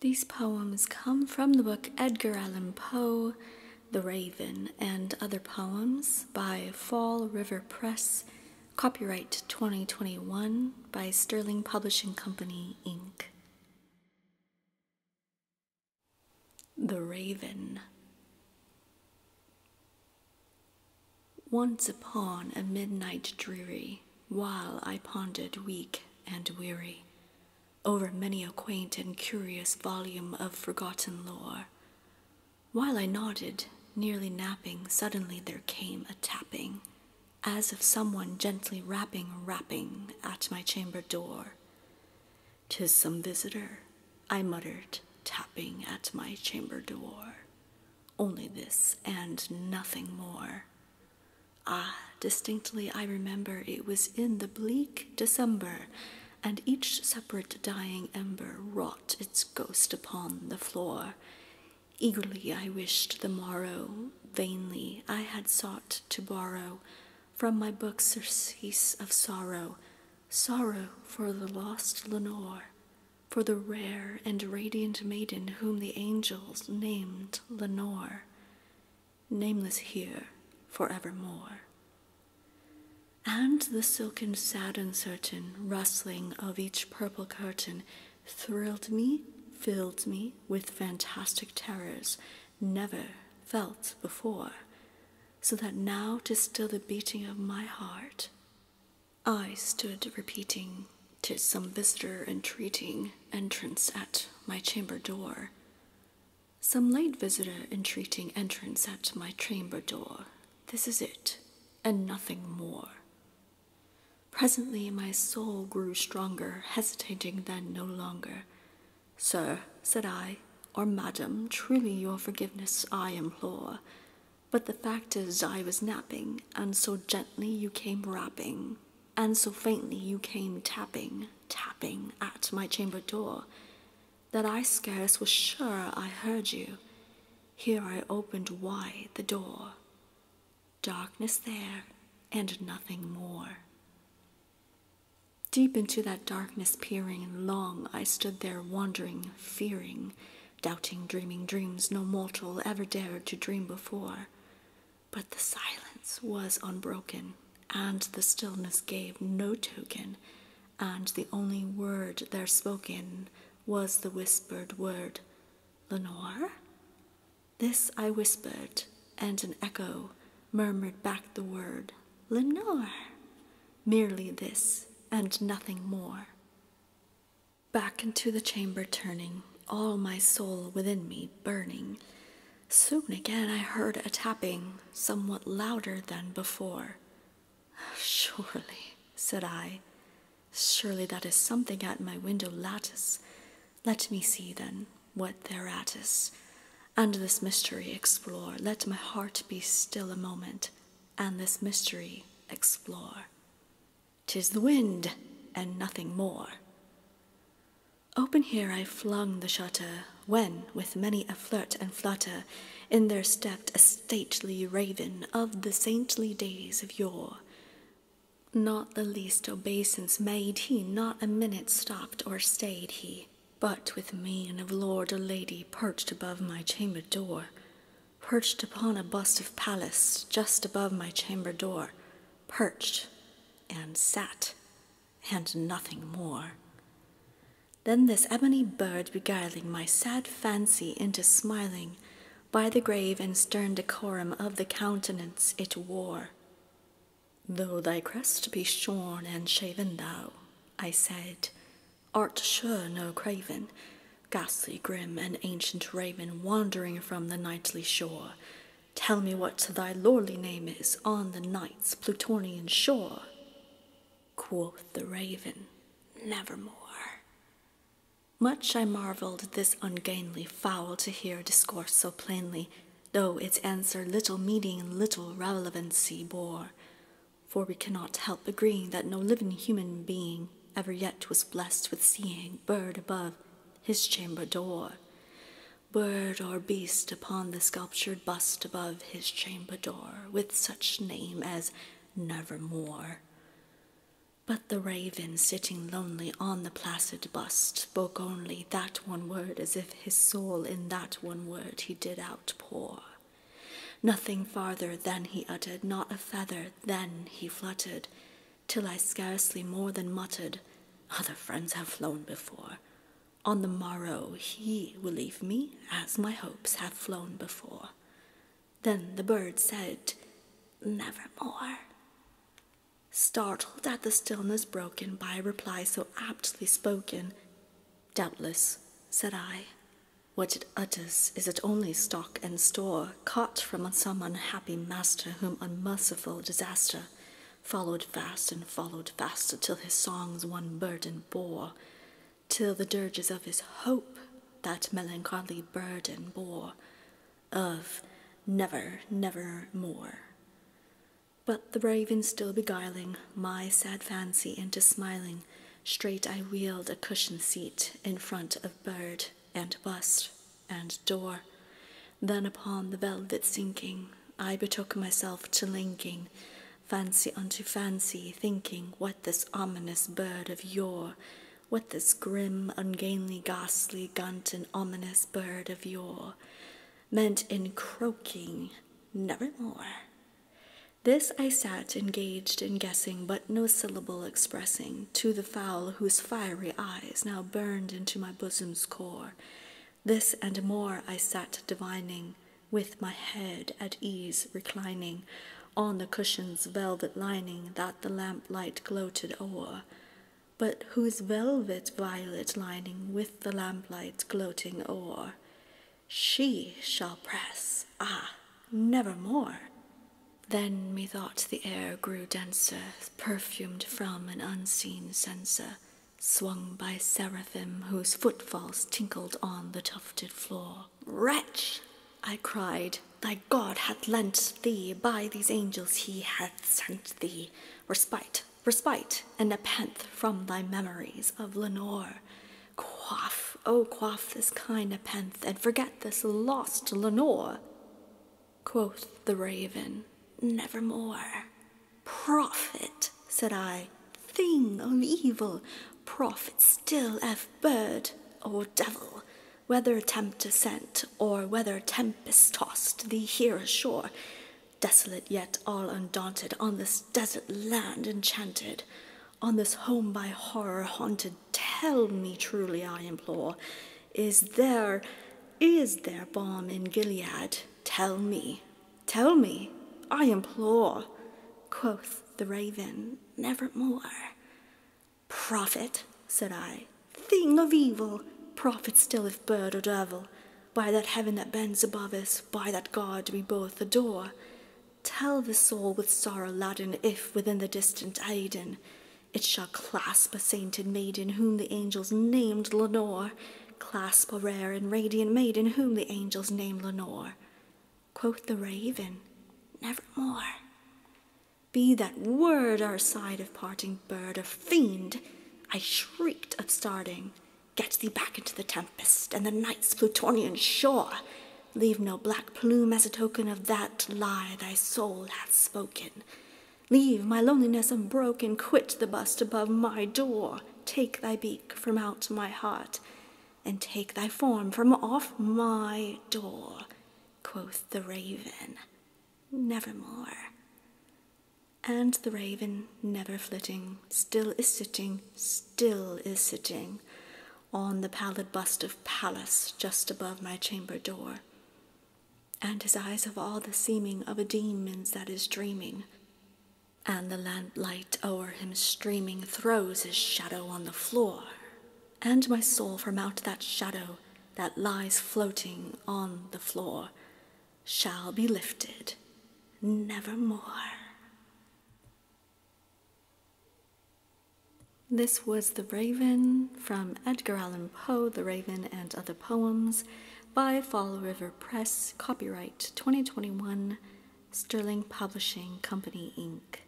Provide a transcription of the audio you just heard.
These poems come from the book Edgar Allan Poe, The Raven, and Other Poems by Fall River Press, copyright 2021 by Sterling Publishing Company, Inc. The Raven. Once upon a midnight dreary, while I pondered weak and weary over many a quaint and curious volume of forgotten lore. While I nodded, nearly napping, suddenly there came a tapping, as of someone gently rapping, rapping at my chamber door. 'Tis some visitor,' I muttered, tapping at my chamber door. Only this and nothing more. Ah, distinctly I remember it was in the bleak December, and each separate dying ember wrought its ghost upon the floor. Eagerly I wished the morrow, vainly I had sought to borrow from my book surcease of sorrow, sorrow for the lost Lenore, for the rare and radiant maiden whom the angels named Lenore, nameless here forevermore. And the silken sad, uncertain rustling of each purple curtain thrilled me, filled me with fantastic terrors never felt before, so that now to still the beating of my heart I stood repeating, "Tis some visitor entreating entrance at my chamber door. Some late visitor entreating entrance at my chamber door. This is it, and nothing more. Presently my soul grew stronger, hesitating then no longer. Sir, said I, or madam, truly your forgiveness I implore. But the fact is, I was napping, and so gently you came rapping, and so faintly you came tapping, tapping at my chamber door, that I scarce was sure I heard you. Here I opened wide the door. Darkness there, and nothing more. Deep into that darkness peering, long I stood there wondering, fearing doubting, dreaming dreams no mortal ever dared to dream before. But the silence was unbroken, and the stillness gave no token, and the only word there spoken was the whispered word, Lenore? This I whispered, and an echo murmured back the word, Lenore. Merely this, and nothing more. Back into the chamber turning, all my soul within me burning, soon again I heard a tapping, somewhat louder than before. Surely, said I, surely that is something at my window lattice. Let me see then what thereat is, and this mystery explore. Let my heart be still a moment, and this mystery explore. Tis the wind and nothing more. Open here I flung the shutter, when, with many a flirt and flutter, in there stepped a stately raven of the saintly days of yore. Not the least obeisance made he, not a minute stopped or stayed he, but with me of lord or lady perched above my chamber door, perched upon a bust of Pallas just above my chamber door, perched and sat and nothing more. Then this ebony bird beguiling my sad fancy into smiling, by the grave and stern decorum of the countenance it wore. Though thy crest be shorn and shaven thou, I said, Art sure no craven, ghastly grim and ancient raven wandering from the nightly shore. Tell me what thy lordly name is on the night's Plutonian shore. Quoth the raven, nevermore. Much I marveled this ungainly fowl to hear discourse so plainly, though its answer little meaning and little relevancy bore for we cannot help agreeing that no living human being ever yet was blessed with seeing bird above his chamber door, bird or beast upon the sculptured bust above his chamber door, with such name as Nevermore. But the raven sitting lonely on the placid bust spoke only that one word as if his soul in that one word he did out. Poor, Nothing farther than he uttered, not a feather than he fluttered, till I scarcely more than muttered, Other friends have flown before. On the morrow he will leave me, as my hopes have flown before. Then the bird said, Nevermore. Startled at the stillness broken by a reply so aptly spoken, Doubtless, said I, what it utters is it only stock and store, caught from some unhappy master whom unmerciful disaster followed fast and followed faster till his songs one burden bore, till the dirges of his hope that melancholy burden bore, of never, never more. But the raven still beguiling my sad fancy into smiling, straight I wheeled a cushioned seat in front of bird and bust and door. Then upon the velvet sinking, I betook myself to linking, fancy unto fancy, thinking what this ominous bird of yore, what this grim, ungainly, ghastly, gunt, and ominous bird of yore, meant in croaking, nevermore. This I sat engaged in guessing, but no syllable expressing, to the fowl whose fiery eyes now burned into my bosom's core. This and more I sat divining, with my head at ease reclining on the cushion's velvet lining that the lamplight gloated o'er but whose velvet violet lining with the lamplight gloating o'er, she shall press, ah, nevermore. Then methought the air grew denser, perfumed from an unseen censer, swung by seraphim whose footfalls tinkled on the tufted floor. Wretch! I cried, thy God hath lent thee, by these angels he hath sent thee, respite respite and nepenthe from thy memories of Lenore. Quaff, oh, quaff this kind nepenthe, and forget this lost Lenore. Quoth the raven, Nevermore. Prophet, said I, thing of evil, prophet still, F bird or devil, whether tempter sent or whether tempest tossed thee here ashore, desolate yet all undaunted, on this desert land enchanted, on this home by horror haunted, tell me truly, I implore, is there, is there balm in Gilead? Tell me, tell me, I implore. Quoth the raven, nevermore. Prophet, said I, thing of evil, prophet still if bird or devil, by that heaven that bends above us, by that God we both adore, tell the soul with sorrow laden if within the distant Aden it shall clasp a sainted maiden whom the angels named Lenore, clasp a rare and radiant maiden whom the angels named Lenore. Quoth the raven, Nevermore. Be that word our side of parting bird, or fiend, I shrieked upstarting, get thee back into the tempest and the night's Plutonian shore. Leave no black plume as a token of that lie thy soul hath spoken. Leave my loneliness unbroken, quit the bust above my door. Take thy beak from out my heart, and take thy form from off my door, quoth the raven nevermore. And the raven, never flitting, still is sitting, still is sitting on the pallid bust of Pallas just above my chamber door. And his eyes have all the seeming of a demon's that is dreaming. And the lamp-light o'er him streaming throws his shadow on the floor and my soul from out that shadow that lies floating on the floor shall be lifted nevermore. This was The Raven from Edgar Allan Poe, The Raven and Other Poems by Fall River Press, copyright 2021, Sterling Publishing Company, Inc.